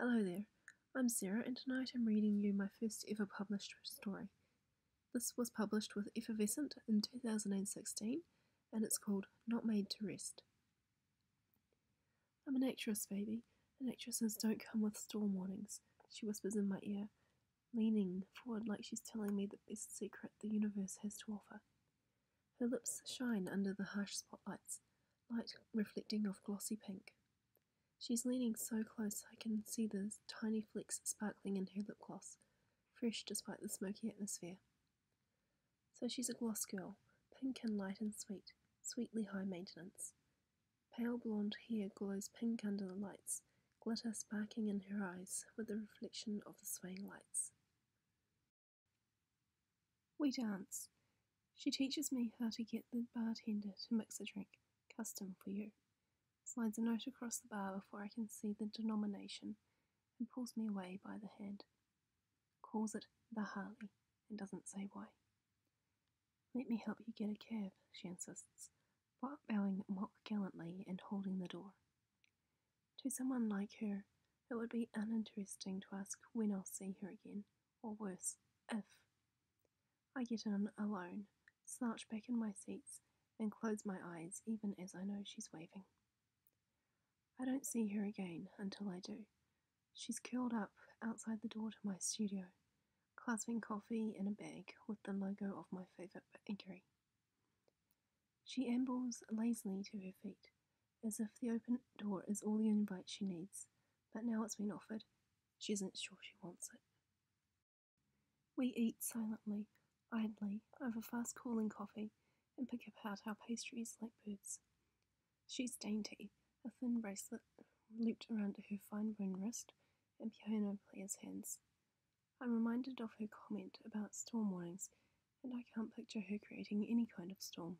Hello there, I'm Sarah, and tonight I'm reading you my first ever published story. This was published with Effervescent in 2016, and it's called Not Made to Rest. I'm an actress, baby, and actresses don't come with storm warnings, she whispers in my ear, leaning forward like she's telling me the best secret the universe has to offer. Her lips shine under the harsh spotlights, light reflecting off glossy pink. She's leaning so close I can see the tiny flecks sparkling in her lip gloss, fresh despite the smoky atmosphere. So she's a gloss girl, pink and light and sweet, sweetly high maintenance. Pale blonde hair glows pink under the lights, glitter sparkling in her eyes with the reflection of the swaying lights. We dance. She teaches me how to get the bartender to mix a drink, custom for you. Slides a note across the bar before I can see the denomination and pulls me away by the hand. Calls it the Harley and doesn't say why. Let me help you get a cab, she insists, bowing mock gallantly and holding the door. To someone like her, it would be uninteresting to ask when I'll see her again, or worse, if. I get in alone, slouch back in my seats, and close my eyes even as I know she's waving. I don't see her again until I do. She's curled up outside the door to my studio, clasping coffee in a bag with the logo of my favourite bakery. She ambles lazily to her feet, as if the open door is all the invite she needs, but now it's been offered, she isn't sure she wants it. We eat silently, idly, over fast cooling coffee, and pick apart our pastries like birds. She's dainty, a thin bracelet looped around her fine brown wrist, and piano player's hands. I'm reminded of her comment about storm warnings, and I can't picture her creating any kind of storm.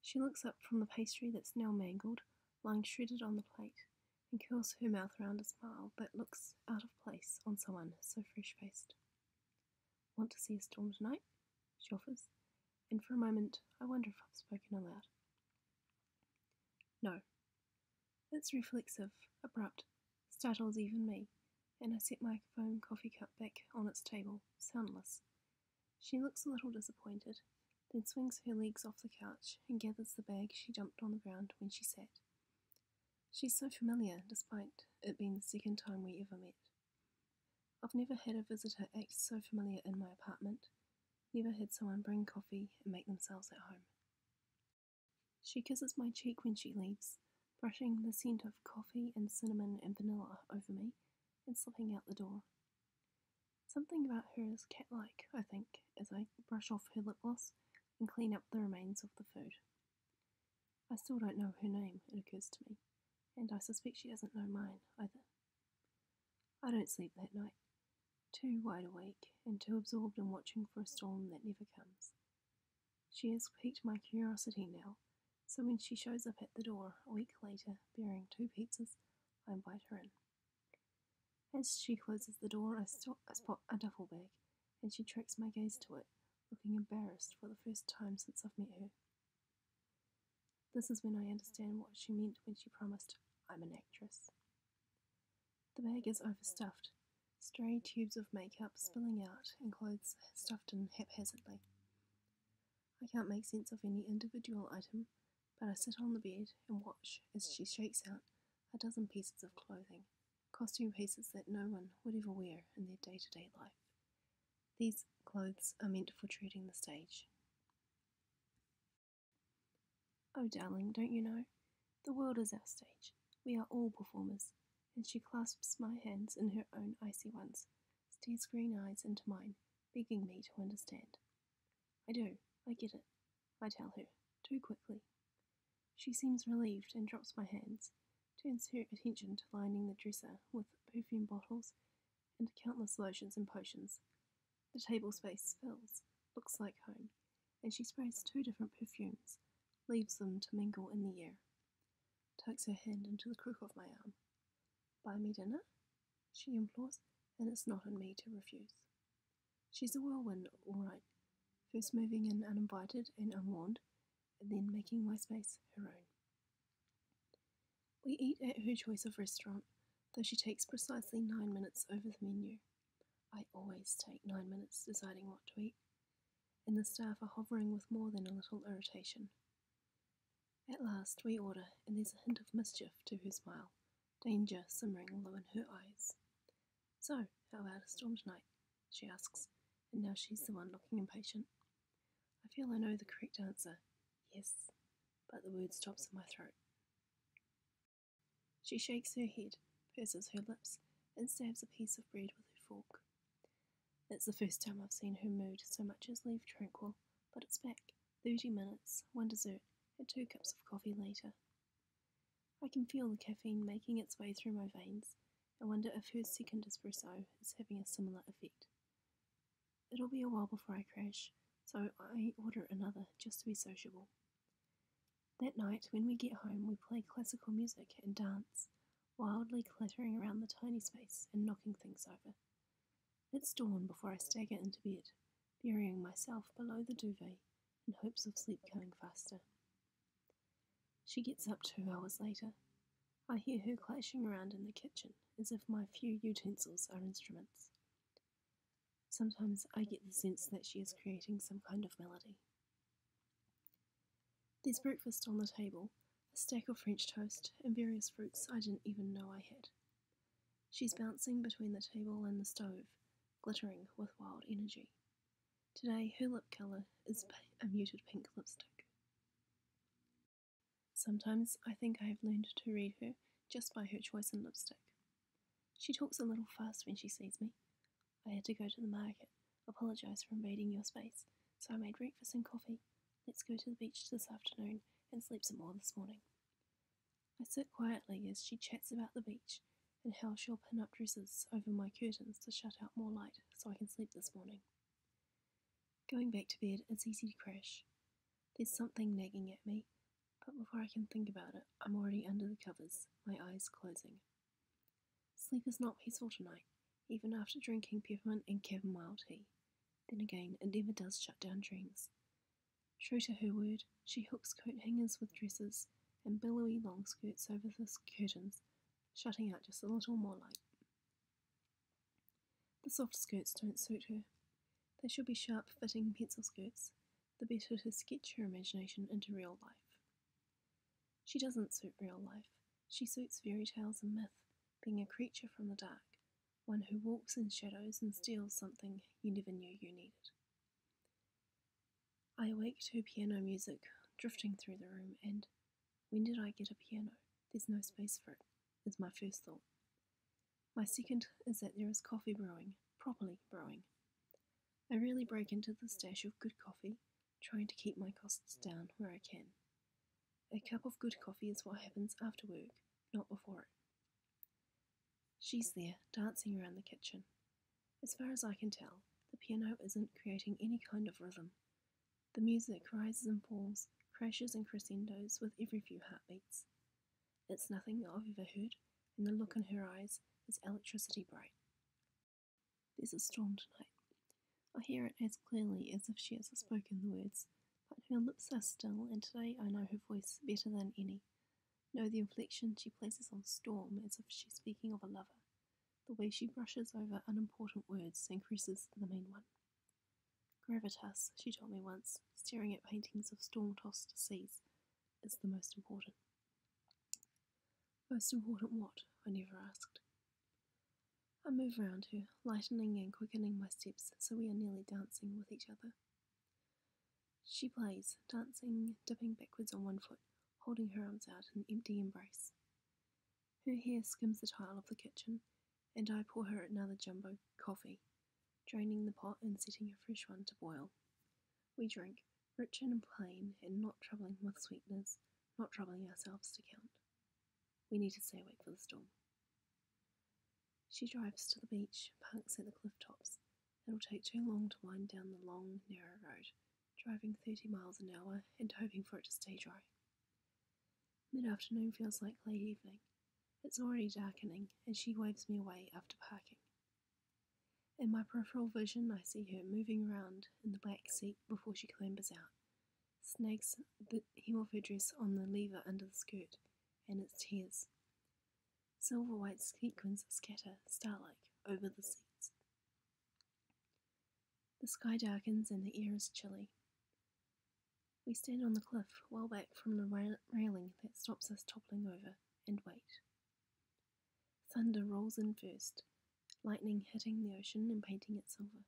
She looks up from the pastry that's now mangled, lying shredded on the plate, and curls her mouth round a smile that looks out of place on someone so fresh faced. Want to see a storm tonight? She offers, and for a moment I wonder if I've spoken aloud. No. It's reflexive, abrupt, startles even me, and I set my foam coffee cup back on its table, soundless. She looks a little disappointed, then swings her legs off the couch and gathers the bag she dumped on the ground when she sat. She's so familiar, despite it being the second time we ever met. I've never had a visitor act so familiar in my apartment, never had someone bring coffee and make themselves at home. She kisses my cheek when she leaves, brushing the scent of coffee and cinnamon and vanilla over me and slipping out the door. Something about her is catlike, I think, as I brush off her lip gloss and clean up the remains of the food. I still don't know her name, it occurs to me, and I suspect she doesn't know mine either. I don't sleep that night, too wide awake and too absorbed in watching for a storm that never comes. She has piqued my curiosity now, so when she shows up at the door a week later bearing two pizzas, I invite her in. As she closes the door, I, spot a duffel bag, and she tracks my gaze to it, looking embarrassed for the first time since I've met her. This is when I understand what she meant when she promised, I'm an actress. The bag is overstuffed, stray tubes of makeup spilling out and clothes stuffed in haphazardly. I can't make sense of any individual item, but I sit on the bed and watch as she shakes out a dozen pieces of clothing, costume pieces that no one would ever wear in their day to day life. These clothes are meant for treating the stage. Oh, darling, don't you know? The world is our stage. We are all performers. And she clasps my hands in her own icy ones, stares green eyes into mine, begging me to understand. I do, I get it, I tell her, too quickly. She seems relieved and drops my hands, turns her attention to lining the dresser with perfume bottles and countless lotions and potions. The table space fills, looks like home, and she sprays two different perfumes, leaves them to mingle in the air. Takes her hand into the crook of my arm. Buy me dinner? she implores, and it's not in me to refuse. She's a whirlwind, all right, first moving in uninvited and unwarned, and then making my space her own. We eat at her choice of restaurant, though she takes precisely nine minutes over the menu. I always take nine minutes deciding what to eat, and the staff are hovering with more than a little irritation. At last we order, and there's a hint of mischief to her smile, danger simmering low in her eyes. So, how about a storm tonight? she asks, and now she's the one looking impatient. I feel I know the correct answer, yes, but the word stops in my throat. She shakes her head, purses her lips, and stabs a piece of bread with her fork. It's the first time I've seen her mood so much as leave tranquil, but it's back. Thirty minutes, one dessert, and two cups of coffee later. I can feel the caffeine making its way through my veins. I wonder if her second espresso is having a similar effect. It'll be a while before I crash, so I order another just to be sociable. That night, when we get home, we play classical music and dance wildly clattering around the tiny space and knocking things over. It's dawn before I stagger into bed, burying myself below the duvet in hopes of sleep coming faster. She gets up two hours later. I hear her clashing around in the kitchen as if my few utensils are instruments. Sometimes I get the sense that she is creating some kind of melody. There's breakfast on the table, a stack of French toast, and various fruits I didn't even know I had. She's bouncing between the table and the stove, glittering with wild energy. Today, her lip colour is a muted pink lipstick. Sometimes I think I have learned to read her just by her choice in lipstick. She talks a little fast when she sees me. I had to go to the market, Apologize for invading your space, so I made breakfast and coffee. Let's go to the beach this afternoon and sleep some more this morning. I sit quietly as she chats about the beach and how she'll pin up dresses over my curtains to shut out more light so I can sleep this morning. Going back to bed, it's easy to crash. There's something nagging at me, but before I can think about it, I'm already under the covers, my eyes closing. Sleep is not peaceful tonight, even after drinking peppermint and cabin tea. Then again, it never does shut down dreams. True to her word, she hooks coat hangers with dresses and billowy long skirts over the curtains, shutting out just a little more light. The soft skirts don't suit her. They should be sharp fitting pencil skirts, the better to sketch her imagination into real life. She doesn't suit real life, she suits fairy tales and myth, being a creature from the dark, one who walks in shadows and steals something you never knew you needed. I awake to piano music drifting through the room, and when did I get a piano? There's no space for it, is my first thought. My second is that there is coffee brewing, properly brewing. I really break into the stash of good coffee trying to keep my costs down where I can. A cup of good coffee is what happens after work, not before it. She's there, dancing around the kitchen. As far as I can tell, the piano isn't creating any kind of rhythm. The music rises and falls, crashes and crescendos with every few heartbeats. It's nothing I've ever heard, and the look in her eyes is electricity bright. There's a storm tonight, I hear it as clearly as if she had spoken the words, but her lips are still, and today I know her voice better than any. Know the inflection she places on storm as if she's speaking of a lover, the way she brushes over unimportant words and creases the main one. Gravitas, she told me once, staring at paintings of storm tossed seas, is the most important. Most important what? I never asked. I move round her, lightening and quickening my steps so we are nearly dancing with each other. She plays, dancing, dipping backwards on one foot, holding her arms out in empty embrace. Her hair skims the tile of the kitchen, and I pour her another jumbo coffee, draining the pot and setting a fresh one to boil. We drink, rich and plain, and not troubling with sweetness, not troubling ourselves to count. We need to stay awake for the storm. She drives to the beach, parks at the cliff tops. It'll take too long to wind down the long, narrow road, driving 30 miles an hour and hoping for it to stay dry. Mid afternoon feels like late evening. It's already darkening, and she waves me away after parking. In my peripheral vision, I see her moving around in the back seat before she clambers out, snags the hem of her dress on the lever under the skirt, and it's tears. Silver white sequins scatter, starlike, over the seats. The sky darkens and the air is chilly. We stand on the cliff, well back from the railing that stops us toppling over, and wait. Thunder rolls in first, lightning hitting the ocean and painting it silver.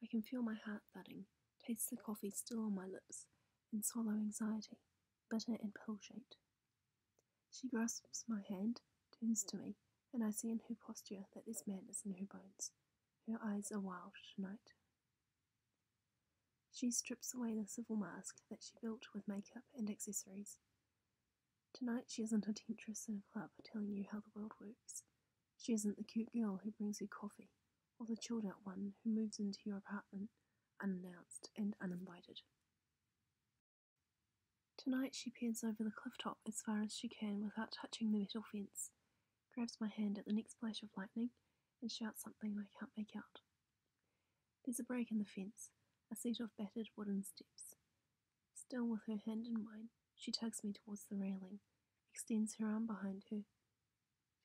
I can feel my heart thudding, taste the coffee still on my lips, in swallow anxiety, bitter and pill shaped. She grasps my hand, turns to me, and I see in her posture that there's madness in her bones. Her eyes are wild tonight. She strips away the civil mask that she built with makeup and accessories. Tonight she isn't a temptress in a club telling you how the world works. She isn't the cute girl who brings you coffee, or the chilled out one who moves into your apartment unannounced and uninvited. Tonight she peers over the cliff top as far as she can without touching the metal fence, grabs my hand at the next flash of lightning, and shouts something I can't make out. There's a break in the fence, a set of battered wooden steps. Still with her hand in mine, she tugs me towards the railing, extends her arm behind her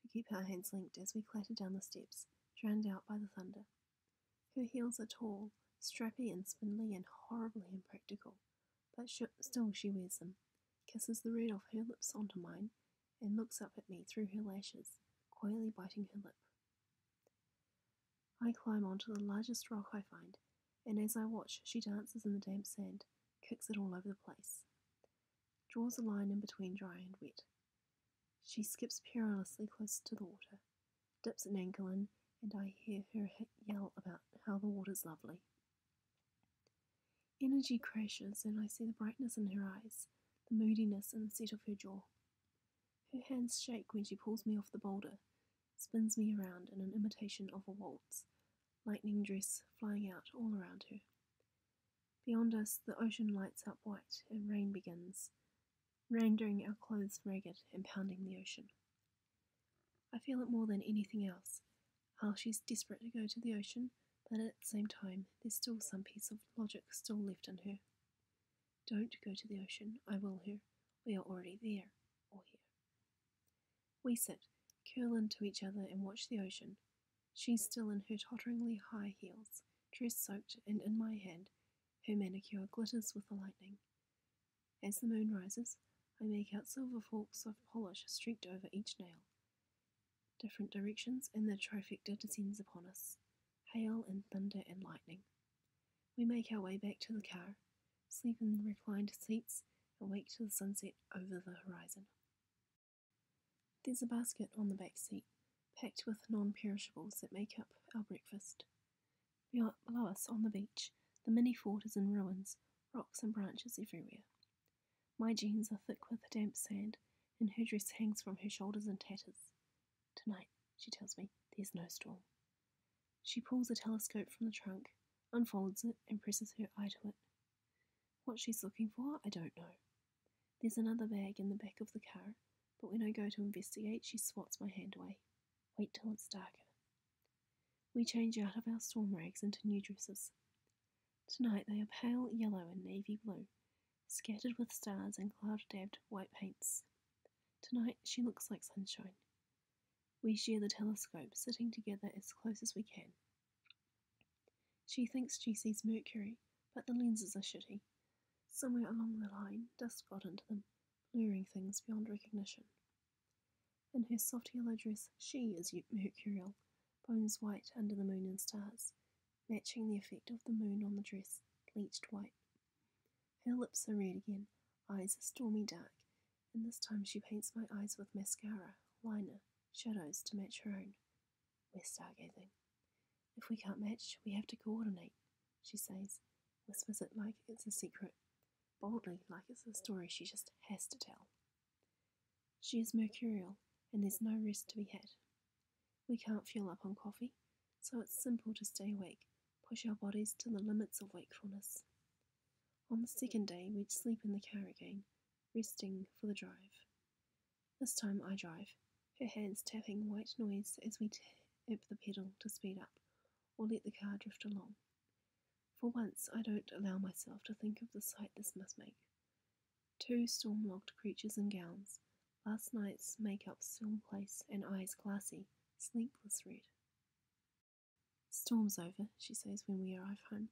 to keep our hands linked as we clatter down the steps, drowned out by the thunder. Her heels are tall, strappy and spindly and horribly impractical, but still she wears them, kisses the red off her lips onto mine, and looks up at me through her lashes, coyly biting her lip. I climb onto the largest rock I find and as I watch, she dances in the damp sand, kicks it all over the place, draws a line in between dry and wet. She skips perilously close to the water, dips an ankle in, and I hear her yell about how the water's lovely. Energy crashes, and I see the brightness in her eyes, the moodiness in the set of her jaw. Her hands shake when she pulls me off the boulder, spins me around in an imitation of a waltz, lightning dress flying out all around her. Beyond us, the ocean lights up white and rain begins, rendering our clothes ragged and pounding the ocean. I feel it more than anything else how is desperate to go to the ocean, but at the same time, there's still some piece of logic still left in her. Don't go to the ocean, I will her. We are already there, or here. We sit, curling to each other, and watch the ocean. She's still in her totteringly high heels, dress soaked, and in my hand, her manicure glitters with the lightning. As the moon rises, I make out silver forks of polish streaked over each nail. Different directions, and the trifecta descends upon us hail and thunder and lightning. We make our way back to the car, sleep in reclined seats, awake to the sunset over the horizon. There's a basket on the back seat, packed with non perishables that make up our breakfast. Below us on the beach, the mini fort is in ruins, rocks and branches everywhere. My jeans are thick with damp sand, and her dress hangs from her shoulders in tatters. Tonight, she tells me, there's no storm. She pulls a telescope from the trunk, unfolds it, and presses her eye to it. What she's looking for, I don't know. There's another bag in the back of the car, but when I go to investigate, she swats my hand away. Wait till it's darker. We change out of our storm rags into new dresses. Tonight they are pale yellow and navy blue, scattered with stars and cloud dabbed white paints. Tonight she looks like sunshine. We share the telescope, sitting together as close as we can. She thinks she sees Mercury, but the lenses are shitty. Somewhere along the line, dust got into them, blurring things beyond recognition. In her soft yellow dress, she is mercurial, bones white under the moon and stars, matching the effect of the moon on the dress, bleached white. Her lips are red again, eyes are stormy dark, and this time she paints my eyes with mascara, liner, shadows to match her own. We're stargazing. If we can't match, we have to coordinate, she says, whispers it like it's a secret, boldly like it's a story she just has to tell. She is mercurial, and there's no rest to be had. We can't fuel up on coffee, so it's simple to stay awake, push our bodies to the limits of wakefulness. On the second day, we'd sleep in the car again, resting for the drive. This time I drive, her hands tapping white noise as we tap the pedal to speed up or let the car drift along. For once, I don't allow myself to think of the sight this must make. Two storm logged creatures in gowns, last night's make-up still in place and eyes glassy, sleepless red. Storm's over, she says when we arrive home.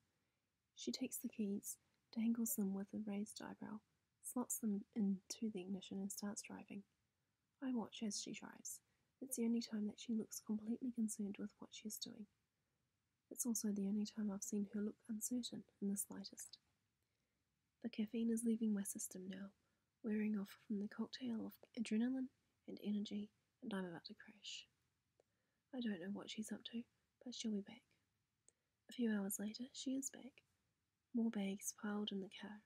She takes the keys, dangles them with a raised eyebrow, slots them into the ignition, and starts driving. I watch as she drives. It's the only time that she looks completely concerned with what she is doing. It's also the only time I've seen her look uncertain in the slightest. The caffeine is leaving my system now, wearing off from the cocktail of adrenaline and energy, and I'm about to crash. I don't know what she's up to, but she'll be back. A few hours later, she is back. More bags piled in the car,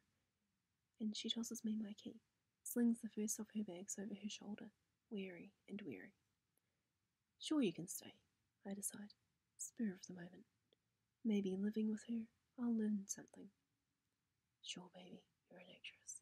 and she tosses me my key, slings the first of her bags over her shoulder, weary and weary. Sure, you can stay, I decide, spur of the moment. Maybe living with her, I'll learn something. Sure, baby, you're an actress.